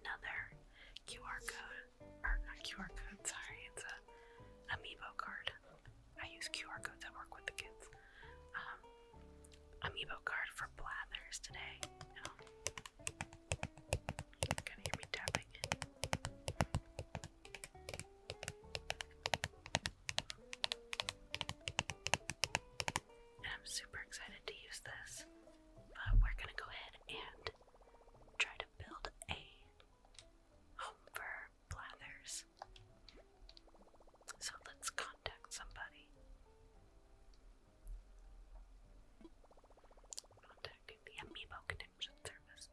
another QR code, or not QR code, sorry, it's a Amiibo card. I use QR codes I work with the kids. Um, Amiibo card for Blathers today. No. Um, you can hear me tapping. And I'm super excited to use this. But uh, we're gonna go ahead and try to build a home for Blathers. So let's contact somebody. Contacting the Amiibo Connection Service.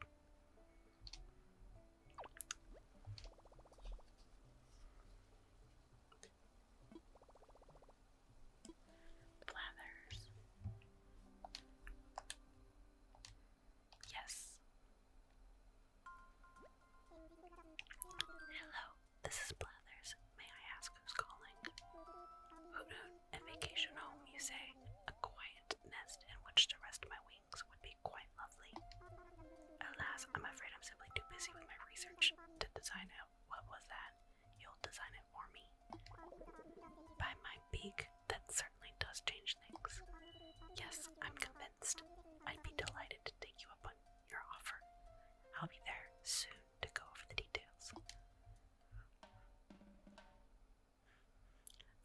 Blathers. Yes. Hello, this is Blathers. May I ask who's calling? a vacation home, you say? A quiet nest in which to rest my wings would be quite lovely. Alas, I'm afraid I'm simply too busy with my research to design out what was that. You'll design it for me. By my beak, that certainly does change things. Yes, I'm convinced. I'd be delighted to take you up on your offer. I'll be there soon to go over the details.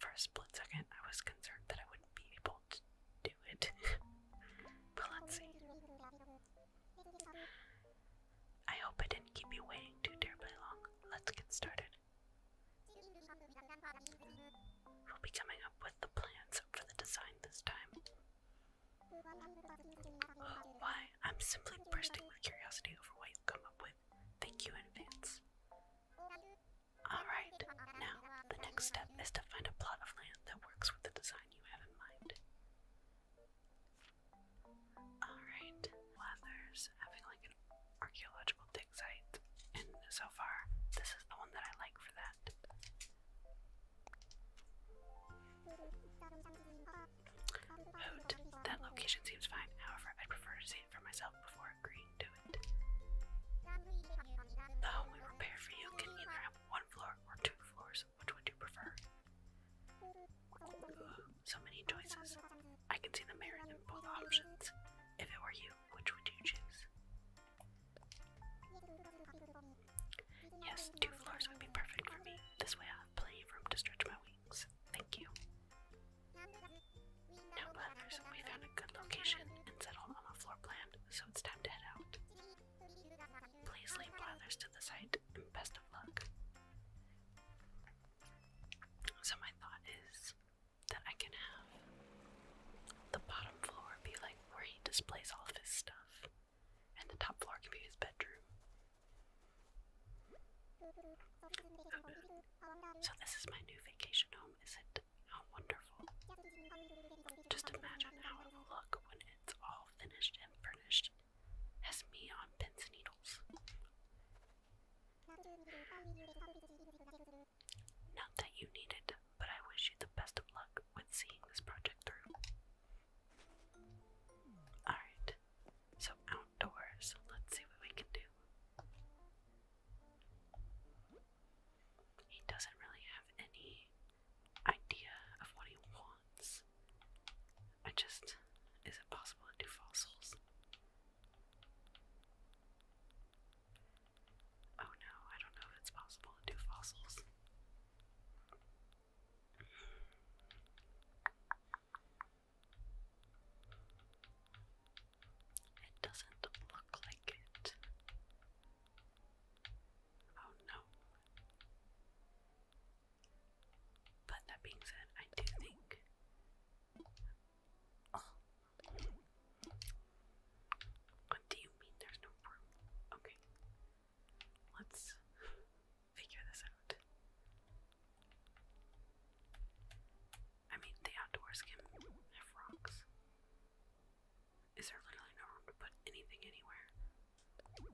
For a split second, I was concerned that I wouldn't be able to do it. but let's see. I hope I didn't keep you waiting too terribly long. Let's get started. We'll be coming up with the plans for the design this time. Oh, why? I'm simply bursting with curiosity over what you'll come up with. Thank you in advance. Alright, now the next step is to find a plot of land that works with the design you have in mind. Alright, there's having like an archaeological dig site, and so far, this is the one that I like for that. Hoot, oh, that location seems fine, however, I'd prefer to see it for myself before agreeing to it. The oh, home we prepare for you can either have one floor or two floors which one do you prefer? Ugh, so many choices. I can see the merit in both options. If it were you, which would you choose? Yes, two floors would be perfect for me. This way I have plenty of room to stretch my wings. Thank you. Now, Leathers, we found a good location and settled on a floor plan, so it's time to head out. Please leave Leathers to the site, best of luck. So my thought is that I can have the bottom floor be like where he displays all of his stuff, and the top floor can be his bedroom. So this is my new vacation home, is it? How wonderful. Just imagine how it will look when it's all finished and furnished has me on pins and needles. Not that you need it, but I wish you the best of luck with seeing this project through. Alright, so outdoors, let's see what we can do. He doesn't really have any idea of what he wants. I just. Is it possible to do fossils? Oh no, I don't know if it's possible to do fossils. It doesn't look like it. Oh no. But that being said, I do think. What do you mean there's no room? Okay. Let's figure this out. I mean, the outdoors can have rocks. Is there literally no room to put anything anywhere? Well, hold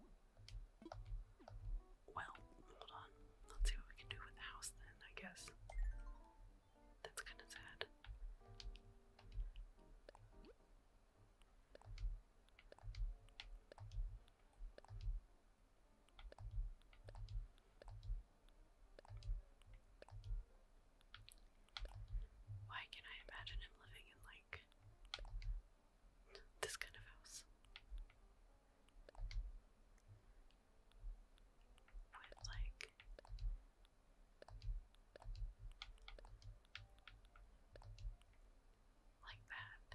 on. Let's see what we can do with the house then, I guess. That's kind of sad. Why can I imagine him living in like this kind of house. With like like that.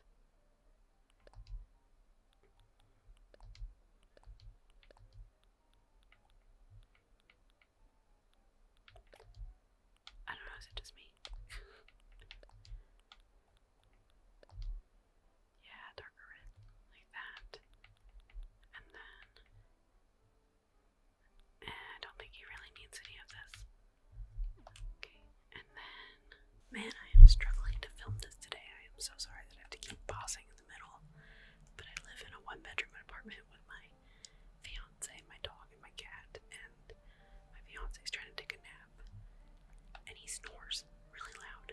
I don't know, is it just me? Yeah, darker red, like that. And then, eh, I don't think he really needs any of this. Okay, and then, man, I am struggling to film this today. I am so sorry that I have to keep pausing in the middle. But I live in a one bedroom apartment with my fiance, my dog, and my cat, and my fiance is trying to take a nap, and he snores really loud.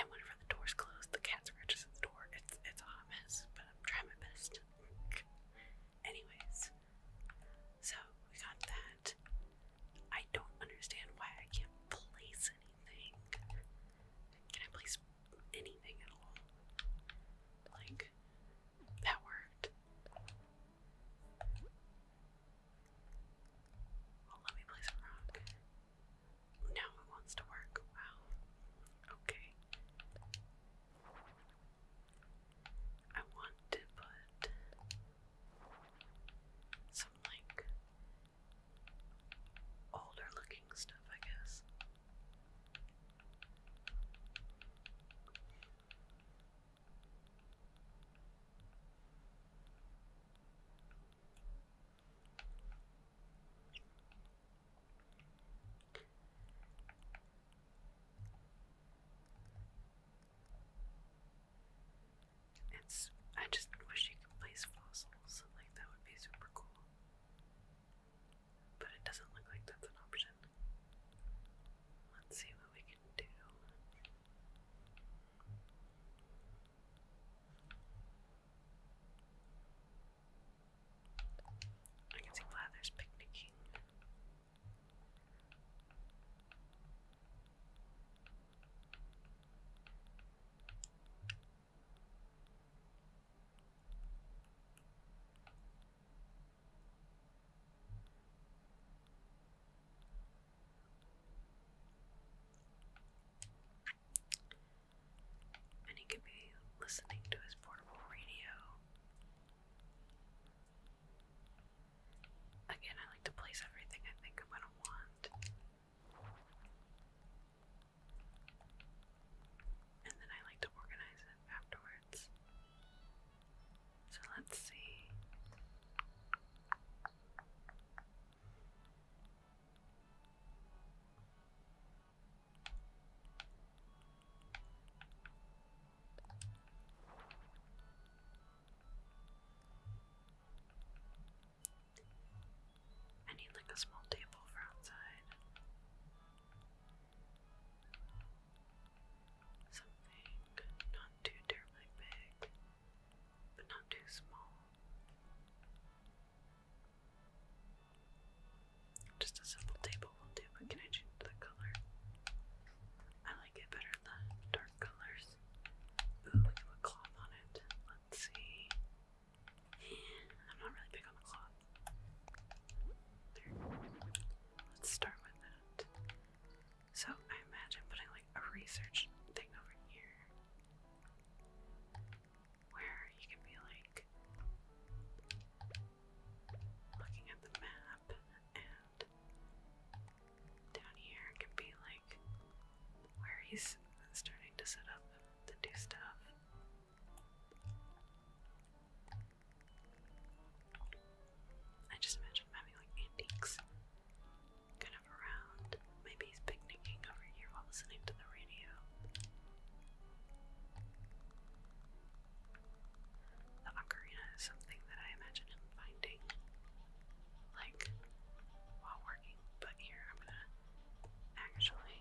And whenever the door's closed, the cat scratches at the door. It's it's a hot mess, but I'm trying my best. Anyways, so we got that. I don't understand why I can't place anything. Can I place anything at all? Like, that worked. let me place a rock. Now it wants to work. Wow. Okay. I want to put some like older looking stuff, I guess. It's. I just wish you could place fossils. Like, that would be super cool. But it doesn't look like that's an option. Let's see what we can I can see Lather's picnicking. And he could be listening to his portable radio. Again, I like to place everything I think I'm going to want. And then I like to organize it afterwards. So let's see. I need like a small table for outside something not too terribly big, but not too small. Just a simple table will do, can I change the color? I like it better than dark colors. Ooh, we can cloth on it. Let's see. I'm not really big on the cloth. There. Let's start with that. So I imagine putting like a research thing over here where you can be like looking at the map and down here can be like where he's starting to set up to do stuff. I just imagine him having like antiques kind of around. Maybe he's picnicking over here while listening to the radio. The ocarina is something that I imagine him finding like while working, but here I'm gonna actually.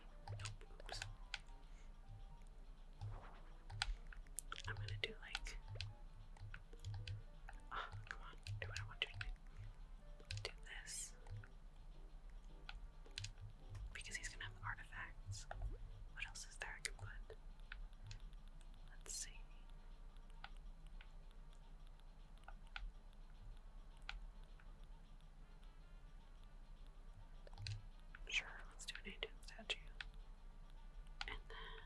I'm gonna do like. Oh, come on, do what I want to do. Do this. Because he's gonna have artifacts. What else is there I can put? Let's see. Sure, let's do an ancient statue. And then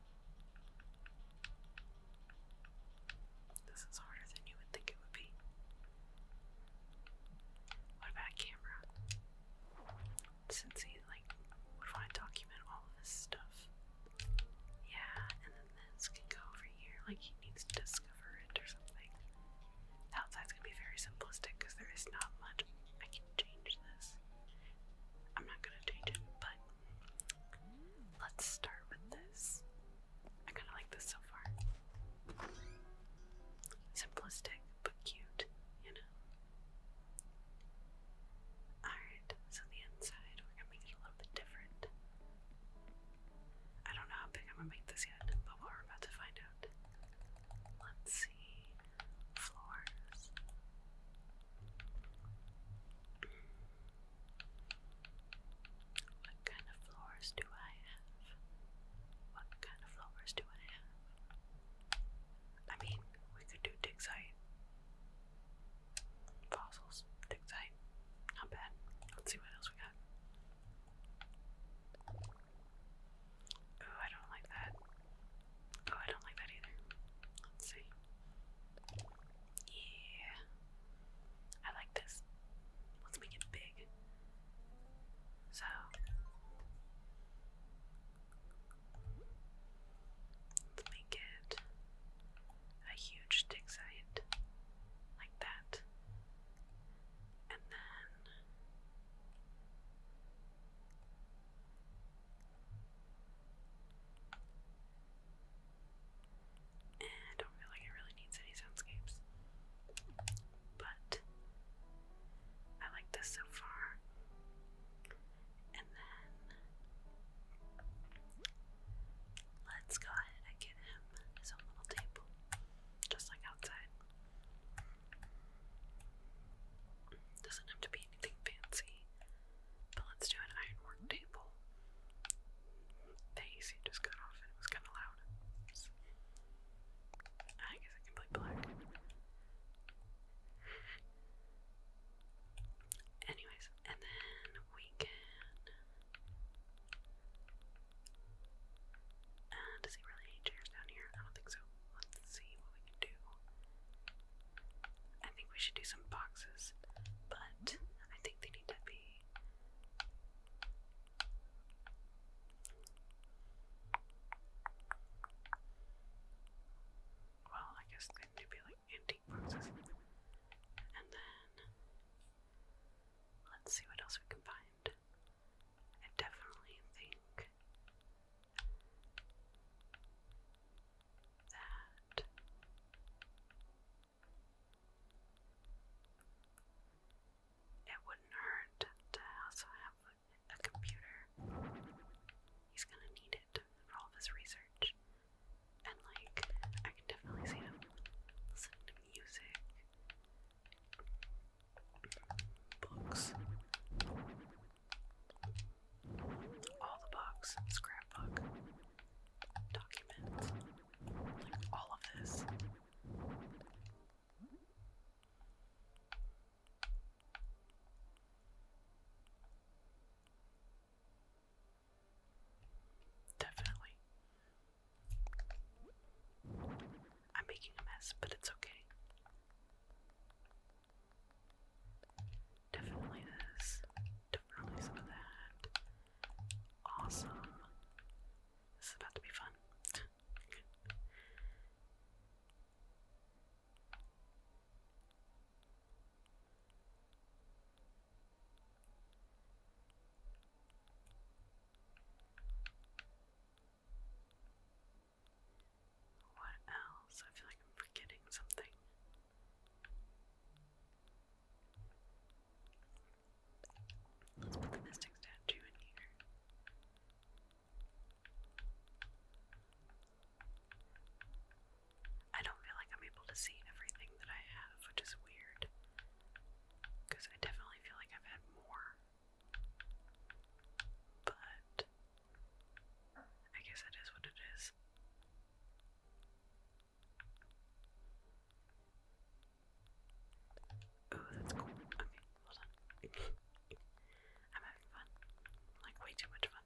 This is harder than you would think it would be. What about camera? Since he like would want to document all this stuff. Yeah, and then this can go over here, like he needs to discover it or something. outside's gonna be very simplistic because there is not much I can change this. I'm not gonna change it, but Let's start with this. I kind of like this so far. Simplistic, but cute, you know? Alright, so the inside, we're gonna make it a little bit different. I don't know how big I'm gonna make this yet, but we're about to find out. Let's see. Floors. What kind of floors do I have? What kind of floors do I have? I mean, we could do Dixite. Fossils, Dixite. Not bad. Let's see what else we got. Oh, I don't like that. Oh, I don't like that either. Let's see. Yeah. I like this. Let's make it big. So let's make it a huge dig side, like that. And then I don't feel like it really needs any soundscapes. But I like this so far. And then let's go ahead and get him his own little table. Just like outside. Doesn't have to be anything fancy. But let's do an ironwork table. The AC just cut off and it was kind of loud. So, I guess I can play black. Anyways, and then we can. Uh, does he really need chairs down here? I don't think so. Let's see what we can do. I think we should do some boxes, but I think they need to be. Well, I guess they need to be like antique boxes. And then. Let's see what else we can find. I definitely think that. It wouldn't hurt to also have a computer. He's gonna need it for all of his research. And, like, I can definitely see him listening to music, books, all the books, scrapbook documents, all of this. Definitely. I'm making a mess, but it's okay. Definitely this definitely some of that. Awesome. This is about to be fun. What else? I feel like I'm forgetting something. Let's put the mystic statue in here. I don't feel like I'm able to see everything that I have, which is weird. Because I definitely feel like I've had more. But I guess it is what it is. Oh, that's cool. Okay, well done. I'm having fun. Like, way too much fun.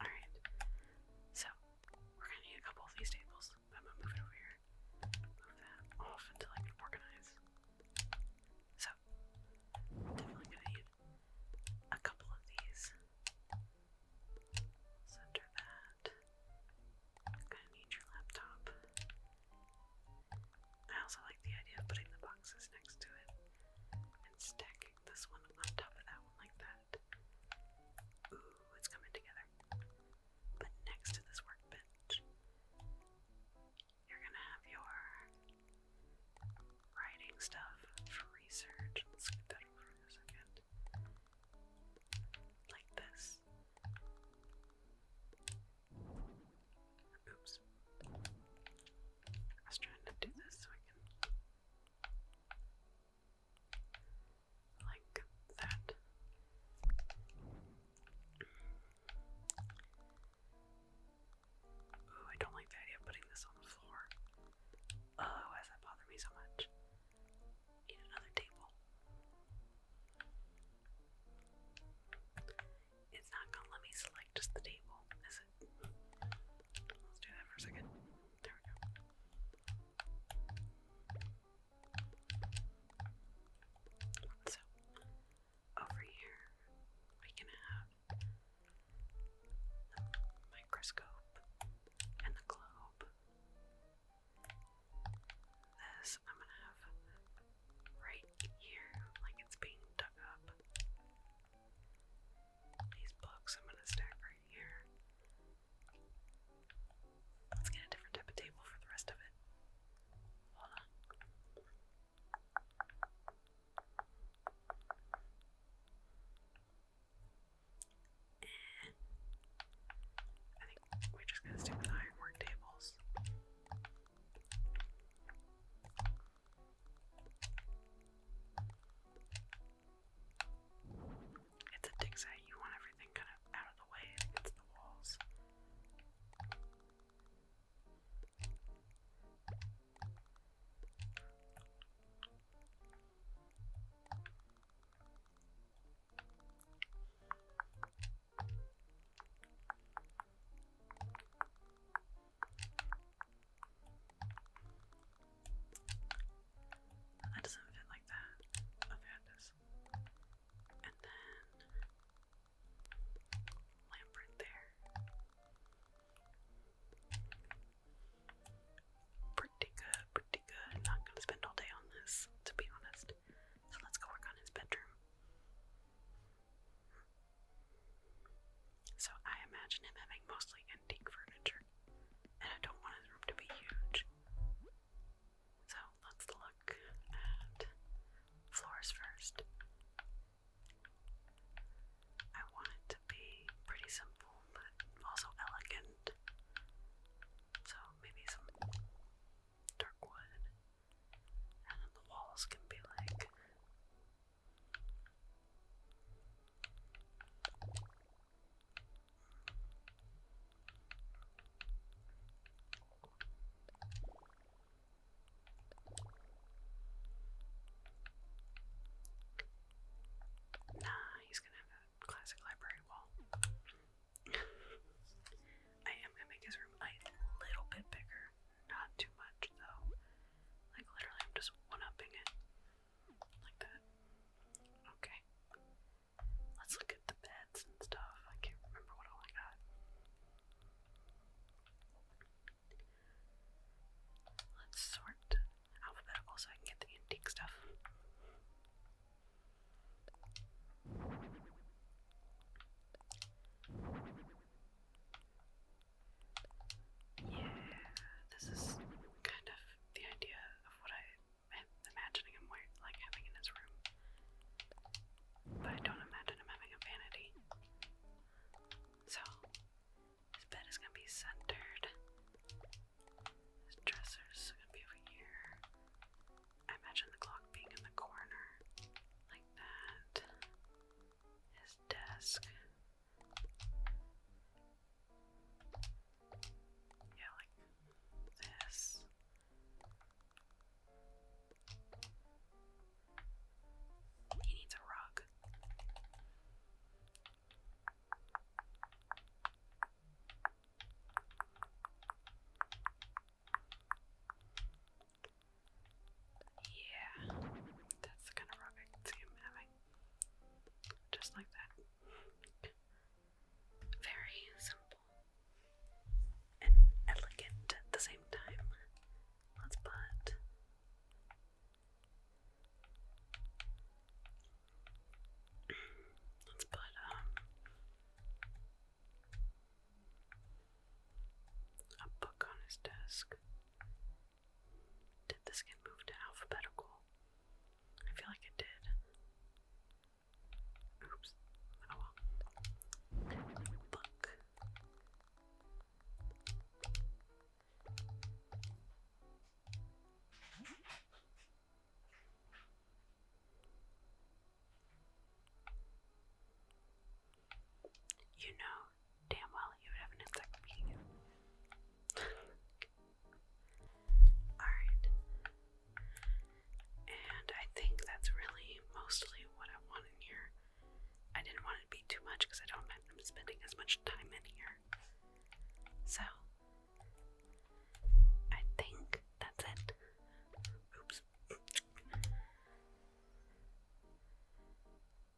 Alright. So, we're gonna need a couple of these tables. I'm gonna move it over here. Move that off until I can organize. So, definitely gonna need a couple of these. Center that. I'm gonna need your laptop. I also like the idea of putting the boxes next to it and stacking this one on top of that one like that. Ooh, it's coming together. But next to this workbench, you're gonna have your writing stuff for research. Let's get that over a second. Like this. Oops. I was trying to do this so I can. Like that. Ooh, I don't like the idea of putting this on the floor. Oh, why does that bother me so much? Need another table. It's not gonna let me select just the table, is it? Let's do that for a second. There we go. So, over here, we can have the microscope, and the globe. This I'm gonna have right here, like it's being dug up. These books I'm gonna stack right here. Let's get a different type of table for the rest of it. Hold on. I think we're just gonna stick with ironwork tables. It's a dig you want everything kind of out of the way against the walls. That doesn't fit like that. Okay, it does. And then lamp there. Pretty good, pretty good. Not gonna spend all day on this, to be honest. So let's go work on his bedroom. So I imagine him having mostly antique furniture, and I don't want his room to be huge. So let's look at floors first. I want it to be pretty simple but also elegant. So maybe some dark wood. And then the walls can be like Nah, he's gonna have a classic library wall. I am gonna make his room a little bit bigger. Not too much though. Like literally I'm just one-upping it. Like that. Okay. Let's look at the beds and stuff. I can't remember what all I got. Let's sort alphabetical so I can get the antique stuff. Yeah, this is kind of the idea of what I am imagining him like having in his room. But I don't imagine him having a vanity. So his bed is gonna be centered. His is gonna be over here. I imagine the clock being in the corner, like that. His desk. Yeah, like this. He needs a rug. Yeah, that's kind of rock Just like that. Very simple and elegant at the same time. Let's put Let's put a book on his desk. Did this get moved to alphabetical? I feel like it did. Oops. Oh book. You know damn well you would have an encyclopedia. Alright. And I think that's really mostly what I want in here. I didn't want it to be too much because I don't imagine I'm spending as much time in here. So I think that's it. Oops.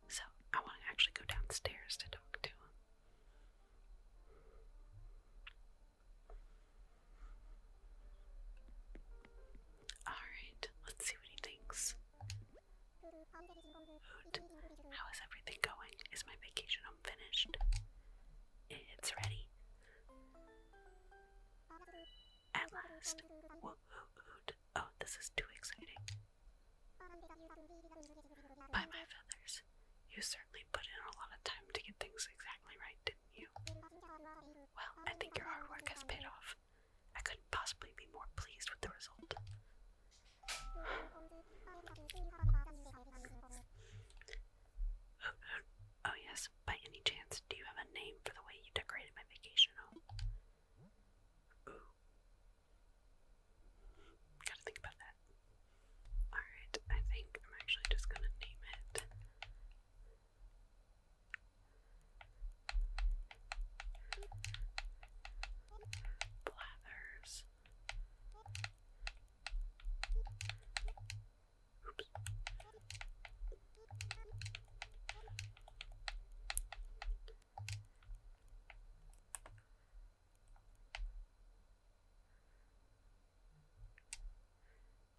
So I want to actually go downstairs to talk to him. Alright, let's see what he thinks. How is everything going? Is my vacation home finished? It's ready. At last. Whoa, oh, this is too exciting. By my feathers. You certainly put in a lot of time to get things exactly right, didn't you? Well, I think your hard work has paid off. I couldn't possibly be more pleased with the result. Oh, yes, by any chance, do you have a name for the way you decorated my vacation Ooh. Gotta think about that. Alright, I think I'm actually just gonna name it. Blathers. Oops.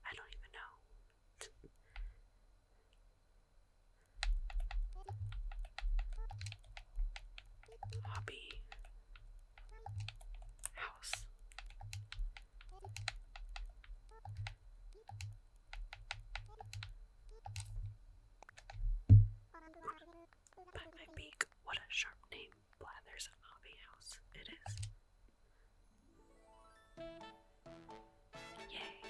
I don't even know. Hobby. House. By my beak, what a sharp name. Blather's Hobby House. It is. Yay!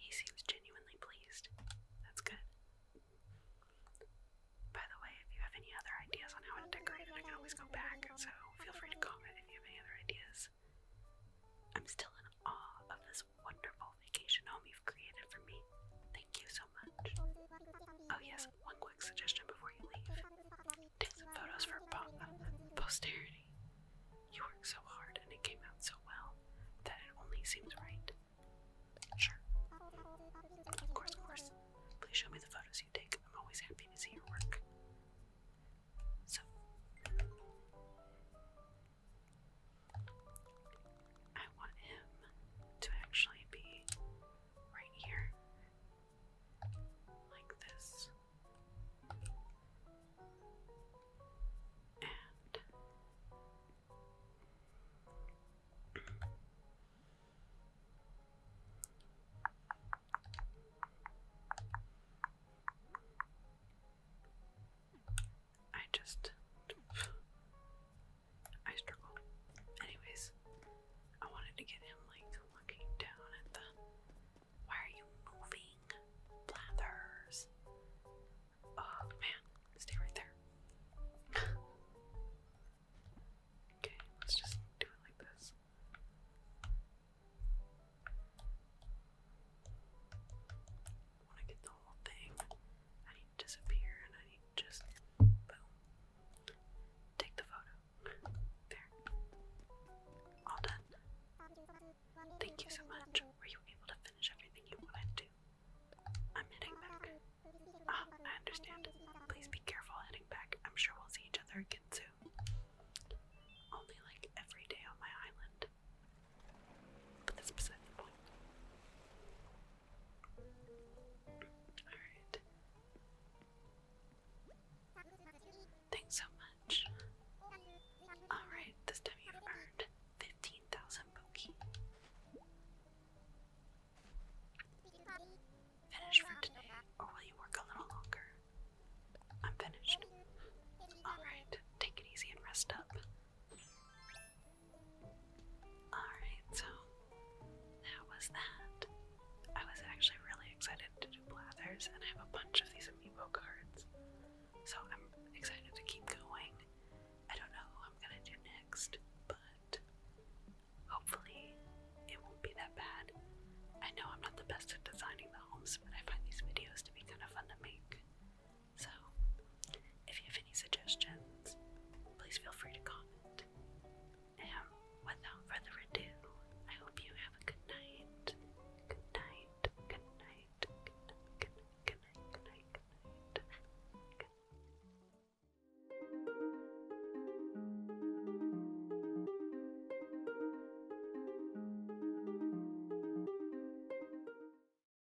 He seems genuinely pleased. That's good. By the way, if you have any other ideas on how to decorate I can always go back, so feel free to comment if you have any other ideas. I'm still in awe of this wonderful vacation home you've created for me. Thank you so much. Oh, yes, one quick suggestion before you leave take some photos for posterity. You worked so hard and it came out so well that it only seems right. Sure. Of course, of course. Please show me the photos you take. I'm always happy to see your work. So, I want him to actually be right here, like this. And I just. I struggle. Anyways, I wanted to get him like looking down at the. Why are you moving? Blathers. Oh man, stay right there. okay, let's just do it like this want to get the whole thing. I need to disappear and I need to just boom. Take the photo. There. All done. Thank you so much. Were you able to finish everything you wanted to? I'm heading back. Ah, I understand. Please be careful heading back. I'm sure we'll see each other again soon. Only like every day on my island. Thanks so much. Alright, this time you've earned 15,000 Poke. Finish for today, or will you work a little longer? I'm finished. Alright, take it easy and rest up. Alright, so that was that. I was actually really excited to do Blathers, and I have a bunch of these amiibo cards. So I'm excited to keep going. I don't know who I'm gonna do next, but hopefully it won't be that bad. I know I'm not the best at designing the homes, but I find these videos to be kind of fun to make. So, if you have any suggestions, please feel free to comment. And without further ado, I hope you have a good night. Good night. Good night. Good night. Good night. Good night. Good night. Good night. Good night.